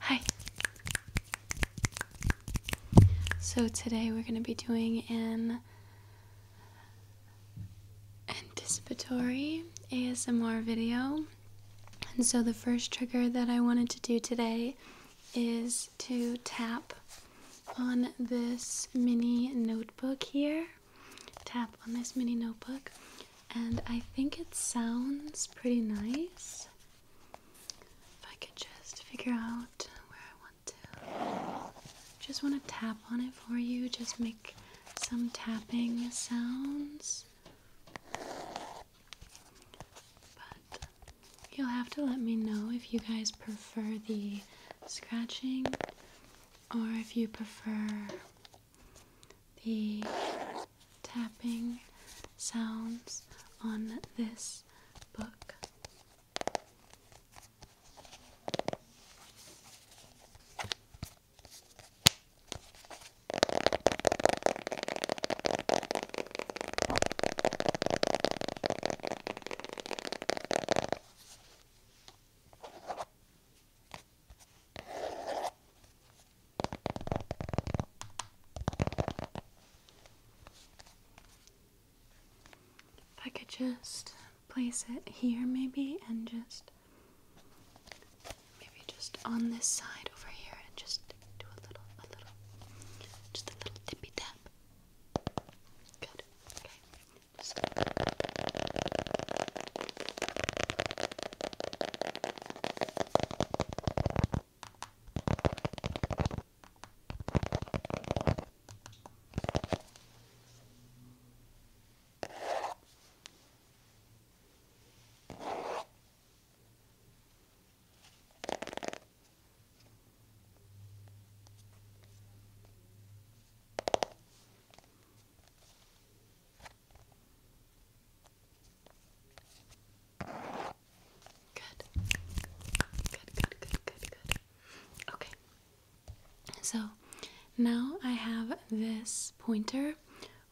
Hi. So today we're going to be doing an anticipatory ASMR video. And so the first trigger that I wanted to do today is to tap on this mini notebook here. Tap on this mini notebook. And I think it sounds pretty nice. If I could just figure out where I want to. Just want to tap on it for you. Just make some tapping sounds. But you'll have to let me know if you guys prefer the scratching or if you prefer the tapping sounds on this book. If I could just place it here maybe and just maybe just on this side over here and just do a little a little just a little tippy tap. Good. Okay. Good. Good, good, good, good, good. Okay. So now I have this pointer,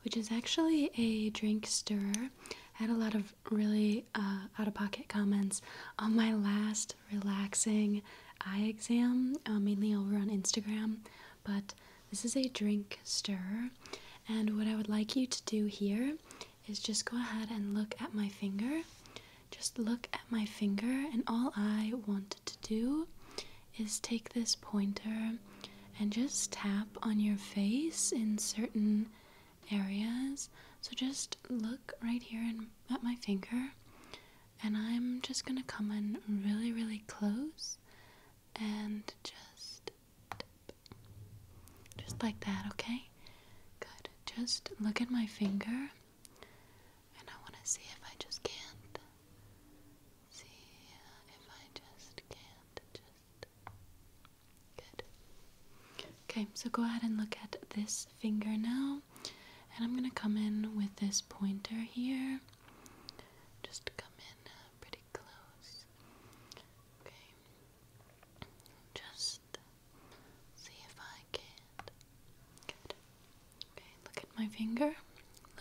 which is actually a drink stirrer. I had a lot of really uh, out of pocket comments on my last relaxing eye exam, uh, mainly over on Instagram. But this is a drink stirrer, and what I would like you to do here is just go ahead and look at my finger. Just look at my finger, and all I want to do is take this pointer and just tap on your face in certain areas. So just look right here and at my finger, and I'm just gonna come in really, really close and just Just like that, okay? Good. Just look at my finger and I want to see if I just can't. See uh, if I just can't. Just. Good. Okay, so go ahead and look at this finger now. And I'm going to come in with this pointer here. Just come in uh, pretty close. Okay. Just see if I can't. Good. Okay, look at my finger.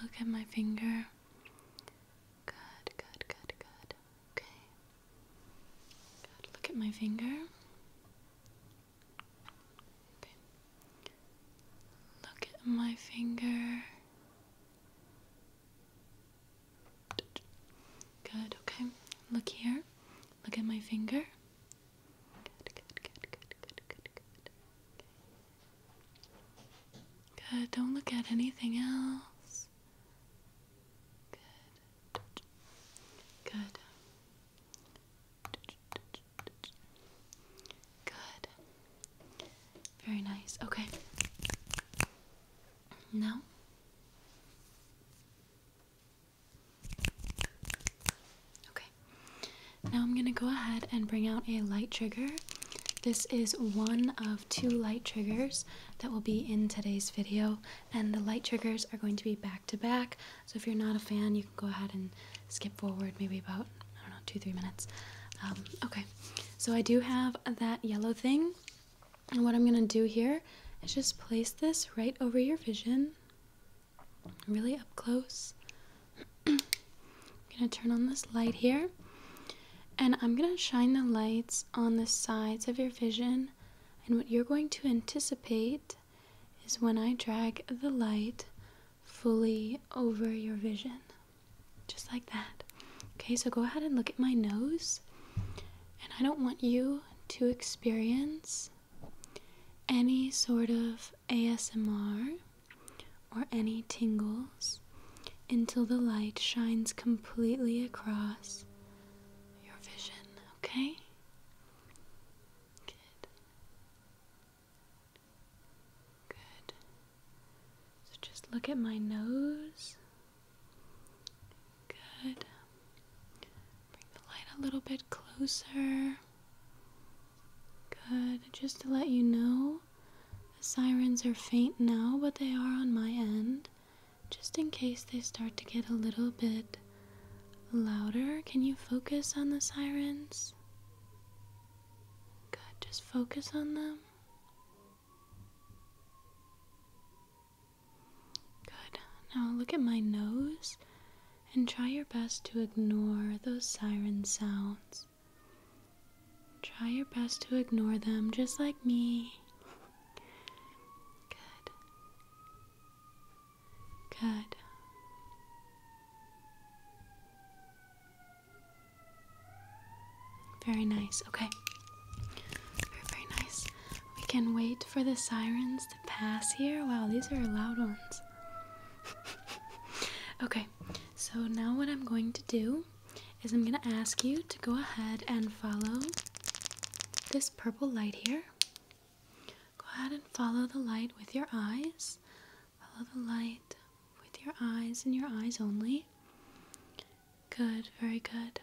Look at my finger. Good, good, good, good. Okay. Good. Look at my finger. Okay. Look at my finger. Good, okay. Look here. Look at my finger. Good, good, good, good, good, good, good. Good, don't look at anything else. Good. Good. Good. Very nice. Okay. Now. Okay. Now I'm going to go ahead and bring out a light trigger. This is one of two light triggers that will be in today's video, and the light triggers are going to be back to back. So if you're not a fan, you can go ahead and skip forward maybe about, I don't know, two, three minutes. Um, okay, so I do have that yellow thing, and what I'm going to do here is just place this right over your vision really up close. I'm gonna turn on this light here, and I'm gonna shine the lights on the sides of your vision. And what you're going to anticipate is when I drag the light fully over your vision, just like that. Okay, so go ahead and look at my nose, and I don't want you to experience any sort of ASMR or any tingles until the light shines completely across your vision, okay? Good. Good. So just look at my nose. Good. Bring the light a little bit closer. Good. Just to let you know, the sirens are faint now, but they are on my end. Just in case they start to get a little bit louder, can you focus on the sirens? Good. Just focus on them. Good. Now look at my nose and try your best to ignore those siren sounds. Try your best to ignore them, just like me. Good. Good. Very nice. Okay. Very, very nice. We can wait for the sirens to pass here. Wow, these are loud ones okay, so now what I'm going to do is I'm going to ask you to go ahead and follow this purple light here. Go ahead and follow the light with your eyes. Follow the light with your eyes and your eyes only. Good, very good.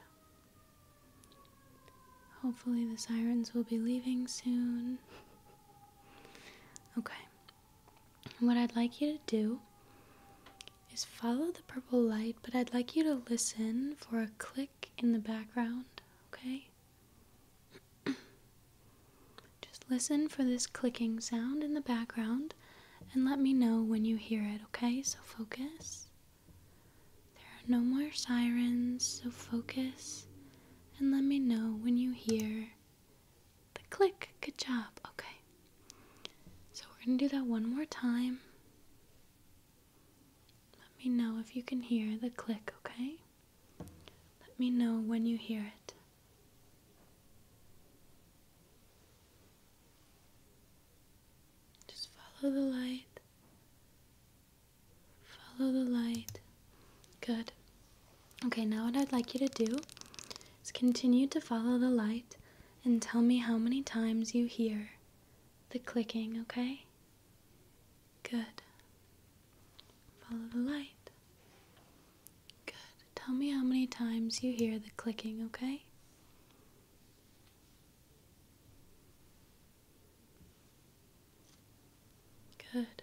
Hopefully, the sirens will be leaving soon. Okay, and what I'd like you to do is follow the purple light, but I'd like you to listen for a click in the background, okay? Just listen for this clicking sound in the background and let me know when you hear it, okay? So focus. There are no more sirens, so focus and let me know when you hear the click. Good job. Okay. So we're going to do that one more time. Let me know if you can hear the click, okay? Let me know when you hear it. Just follow the light. Follow the light. Good. Okay, now what I'd like you to do is continue to follow the light and tell me how many times you hear the clicking, okay? Good. Follow the light. Good. Tell me how many times you hear the clicking, okay? Good.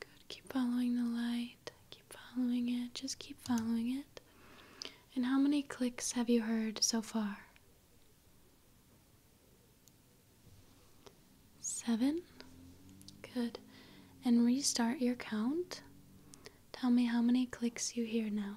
Good. Keep following the light. Keep following it. Just keep following it. And how many clicks have you heard so far? Seven. Good. And restart your count. Tell me how many clicks you hear now.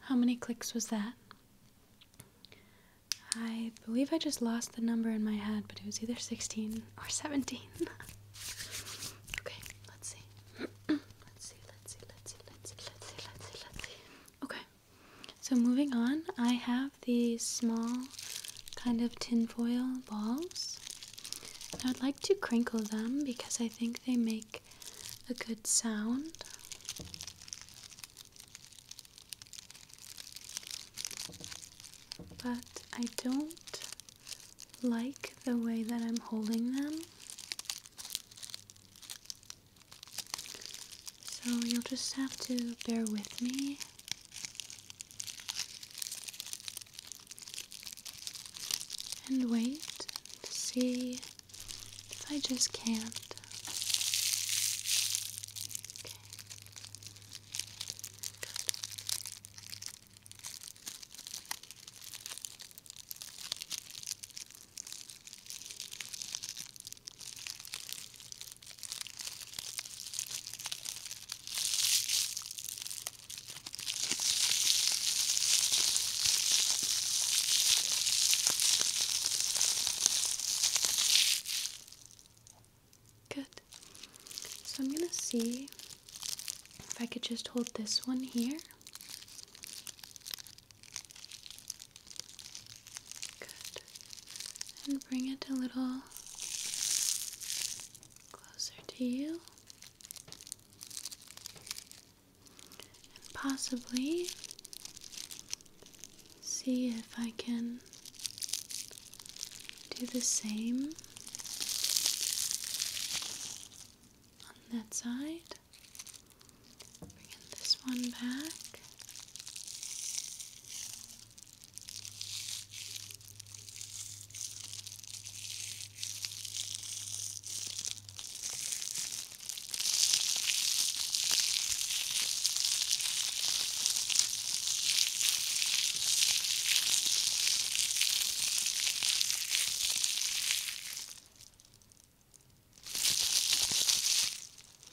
How many clicks was that? I believe I just lost the number in my head, but it was either 16 or 17. okay, let's see. let's see. Let's see, let's see, let's see, let's see, let's see, Okay, so moving on, I have these small kind of tin foil balls. I would like to crinkle them because I think they make a good sound. But I don't like the way that I'm holding them. So you'll just have to bear with me and wait to see if I just can't. Good. So I'm going to see if I could just hold this one here. Good. And bring it a little closer to you and possibly see if I can do the same on that side. Bring this one back.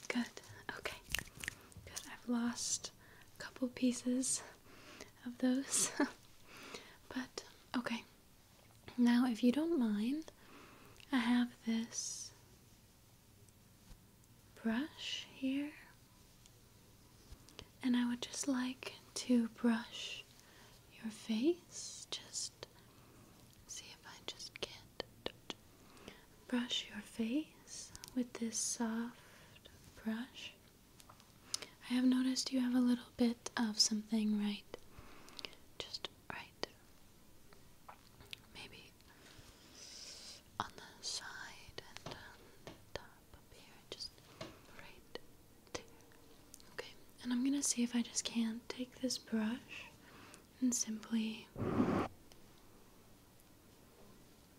Good. Okay. Good. I've lost a couple pieces of those. but okay. Now, if you don't mind, I have this brush here, and I would just like to brush your face. Just see if I just get brush your face with this soft brush. I have noticed you have a little bit of something right. Just right. Maybe on the side and the top up here. Just right there. Okay, and I'm gonna see if I just can't take this brush and simply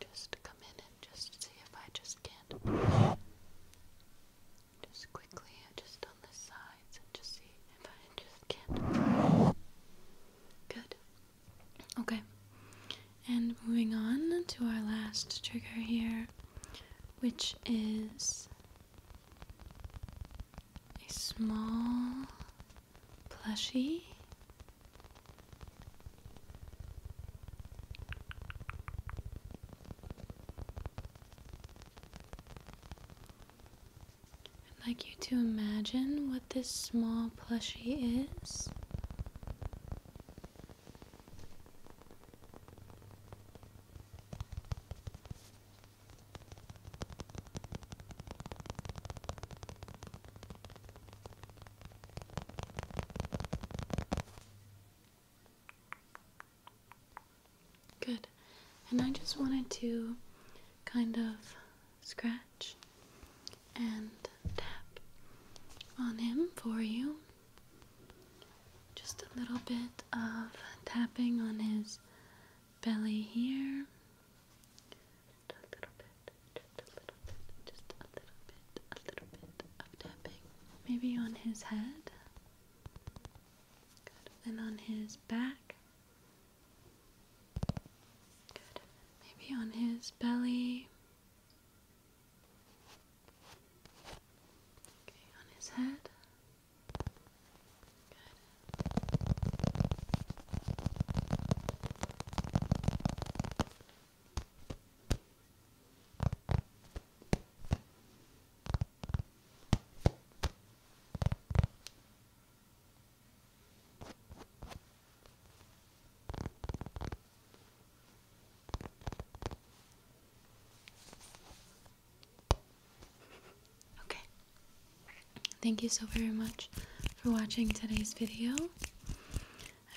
Just come in and just see if I just can Just quickly, just on the sides, and just see Good. Okay. And moving on to our last trigger here, which is a small plushie. I'd like you to imagine what this small plushie is. Good. And I just wanted to kind of scratch and tap on him for you. Just a little bit of tapping on his belly here. Just a little bit, just a little bit, just a little bit, a little bit of tapping. Maybe on his head. And on his back. Maybe on his belly. on his head. Good. Okay. Thank you so very much for watching today's video.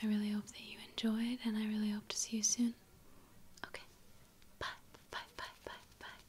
I really hope that you enjoyed and I really hope to see you soon. Okay. Bye. Bye. Bye. Bye. Bye.